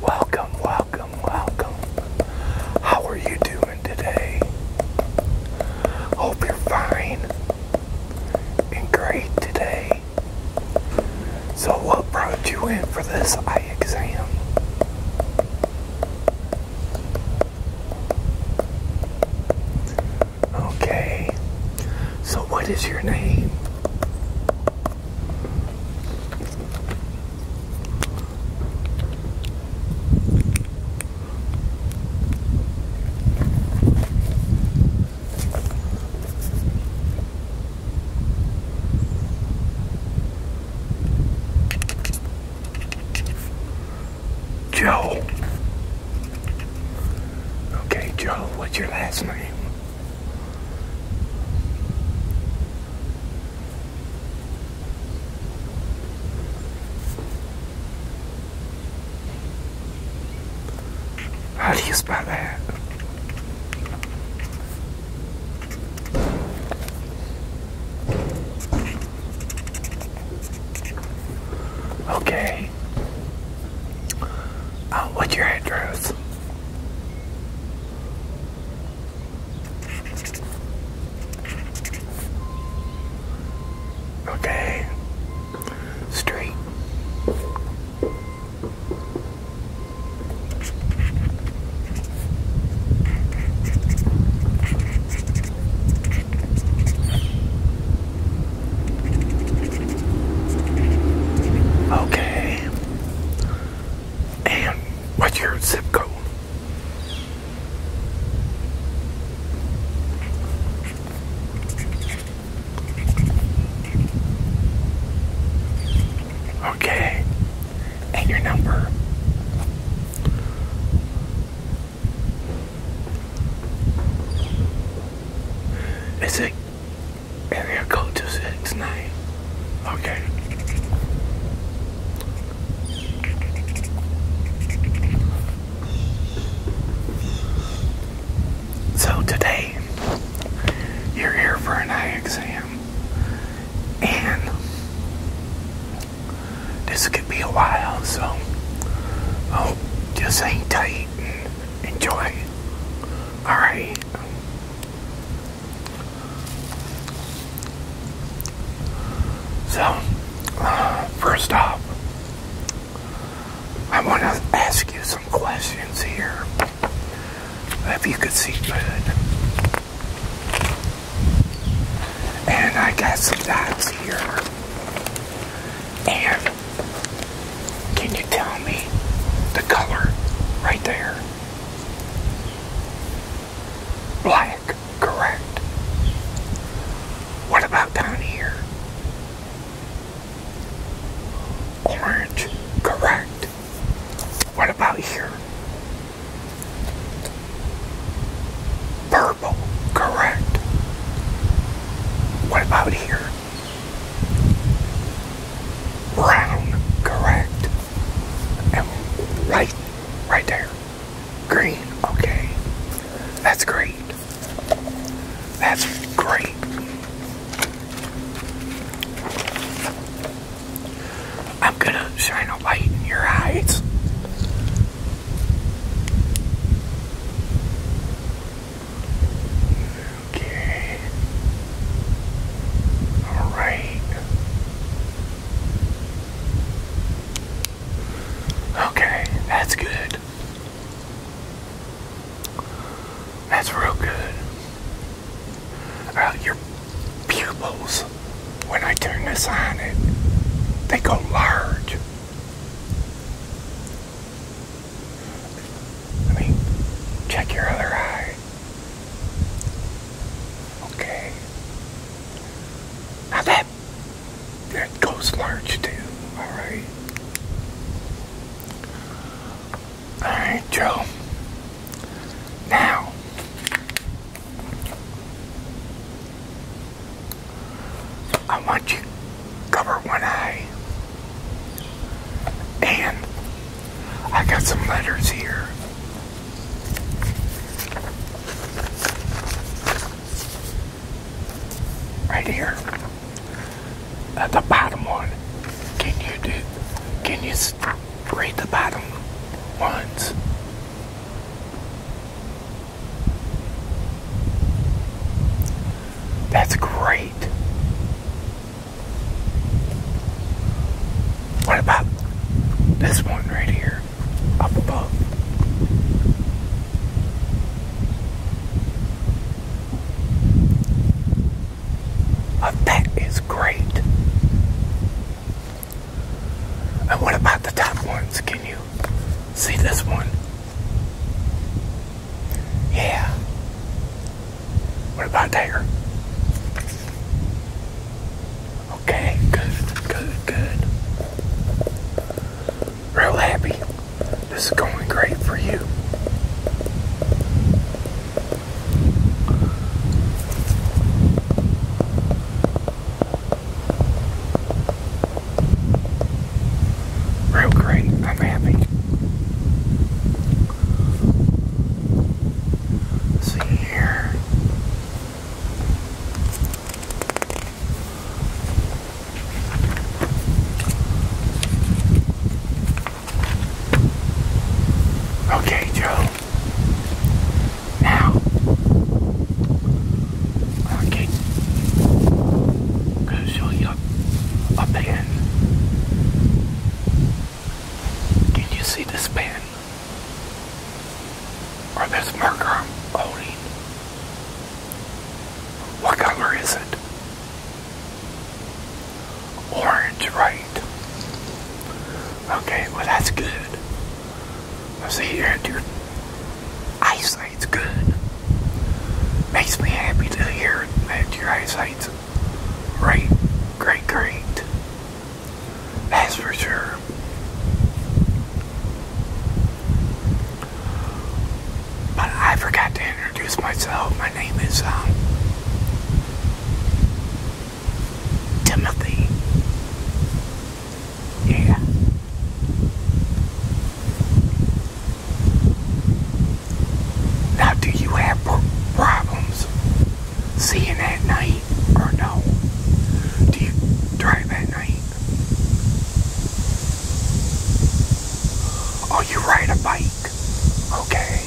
Welcome, welcome, welcome. How are you doing today? Hope you're fine and great today. So, what brought you in for this eye exam? Okay. So, what is your name? Joe. Okay, Joe, what's your last name? How do you spell that? Okay. Uh, what's your address? Okay. Street. Okay. And what's your zip code? Okay. And your number. It's a area code 269. Okay. So today, you're here for an eye exam. And this could be a while, so oh, just hang tight and enjoy. Alright. So, first off, I want to ask you some questions here. If you could see good. And I got some dots here. And can you tell me the color right there? Black, correct. What about down here? Orange, correct. What about here? Purple, correct. What about here? Brown, correct. And right, right there. Green, okay. That's great. That's great. I'm gonna shine a light in your eyes. Okay. All right. Okay, that's good. That's real good. Uh, your pupils when I turn this on it they go large I mean check your other eye okay now that that goes large too alright alright Joe now I want you cover one eye. And I got some letters here. Right here. At the bottom one. Can you do can you read the bottom ones? That's great. What about this one right here up above? Oh, that is great. And what about the top ones? Can you see this one? Yeah. What about there? Okay, good, good, good. Real happy. This is going great for you. Real great, I'm happy. see here. Okay, Joe. Now, okay, I'm show you a pen. Can you see this pen? Or this marker I'm holding? What color is it? Orange, right? Okay, well that's good. I see your, your eyesight's good. Makes me happy to hear that your eyesight's right, great, great. That's for sure. But I forgot to introduce myself. My name is um, Timothy. Yeah. Now, do you have problems seeing at night or no? Do you drive at night? Oh, you ride a bike. Okay.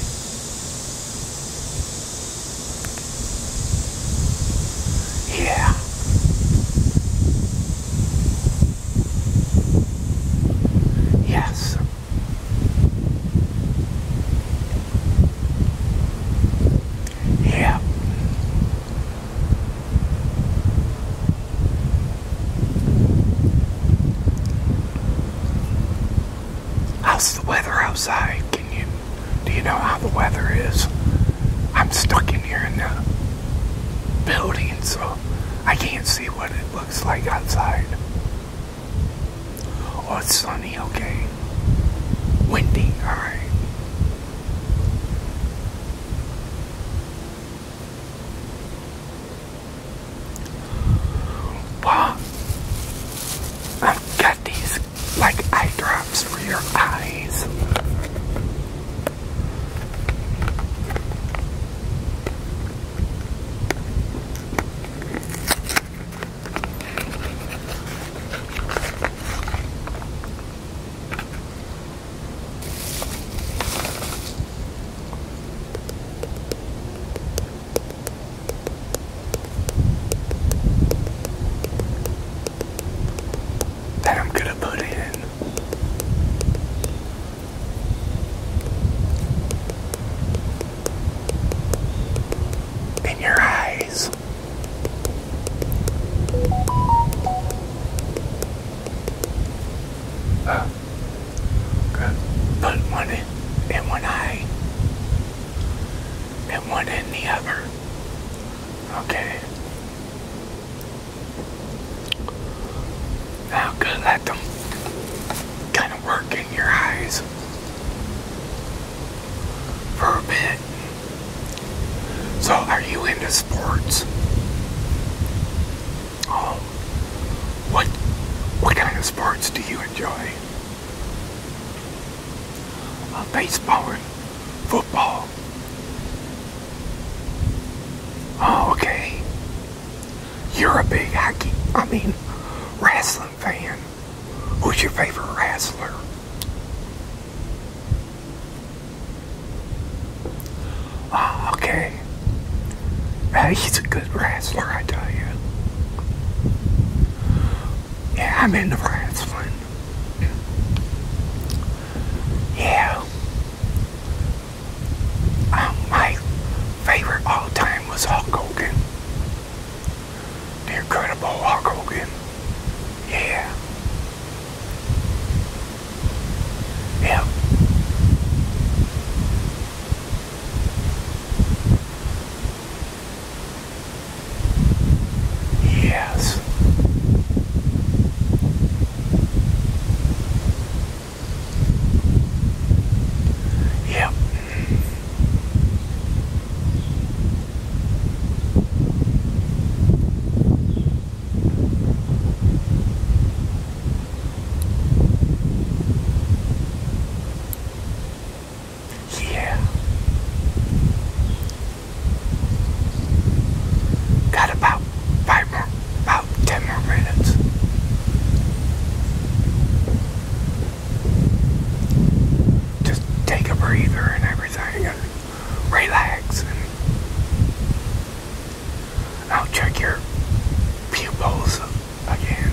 Yeah. Yes. Yeah. How's the weather outside? Can you do you know how the weather is? I'm stuck in here in the building, so I can't see what it looks like outside. Oh, it's sunny, okay. Windy, alright. Well, I've got these like eye drops for your eyes that I'm going to put in. In your eyes. Uh, good. Put one in, in one eye and one in the other. Okay. Now good, let them kind of work in your eyes for a bit. So, are you into sports? Oh, what what kind of sports do you enjoy? of baseball and football. Oh, okay. You're a big hockey, I mean, wrestling fan. Who's your favorite wrestler? Oh, okay. Uh, he's a good wrestler, I tell you. Yeah, I'm in the into one. Yeah. Um, my favorite all time was Hulk Hogan. The Incredible Hulk Hogan. Yeah. Yeah. Yes. Yep. Yeah. Got about five more, about ten more minutes. Just take a breather and everything and relax I'll check your pupils again.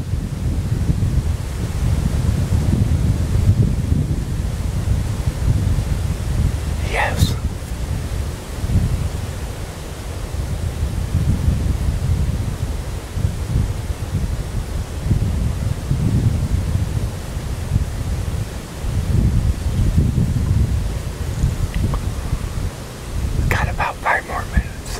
Yes. Got about five more minutes.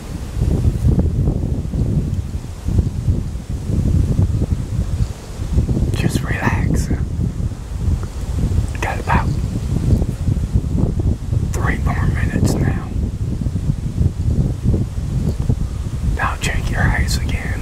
Just relax. Got about three more minutes now. Now check your eyes again.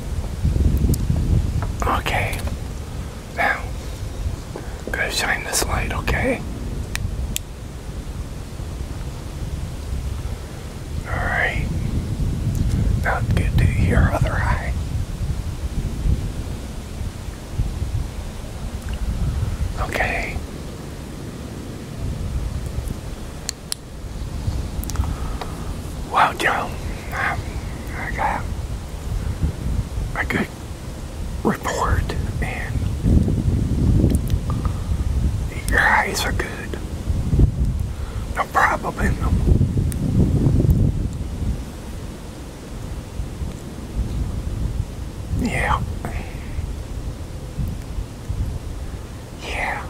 Okay. Now, i gonna shine this light, okay? Alright. Now get to your other eye. Okay. Wow, Joe, um, I got a good report, and your eyes are good. No problem in them. Yeah. Yeah.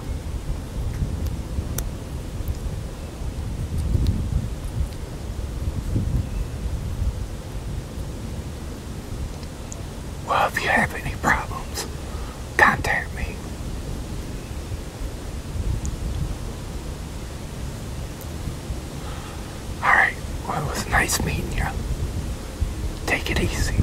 Well, if you have any problems, contact me. Alright, well, it was nice meeting you. Take it easy.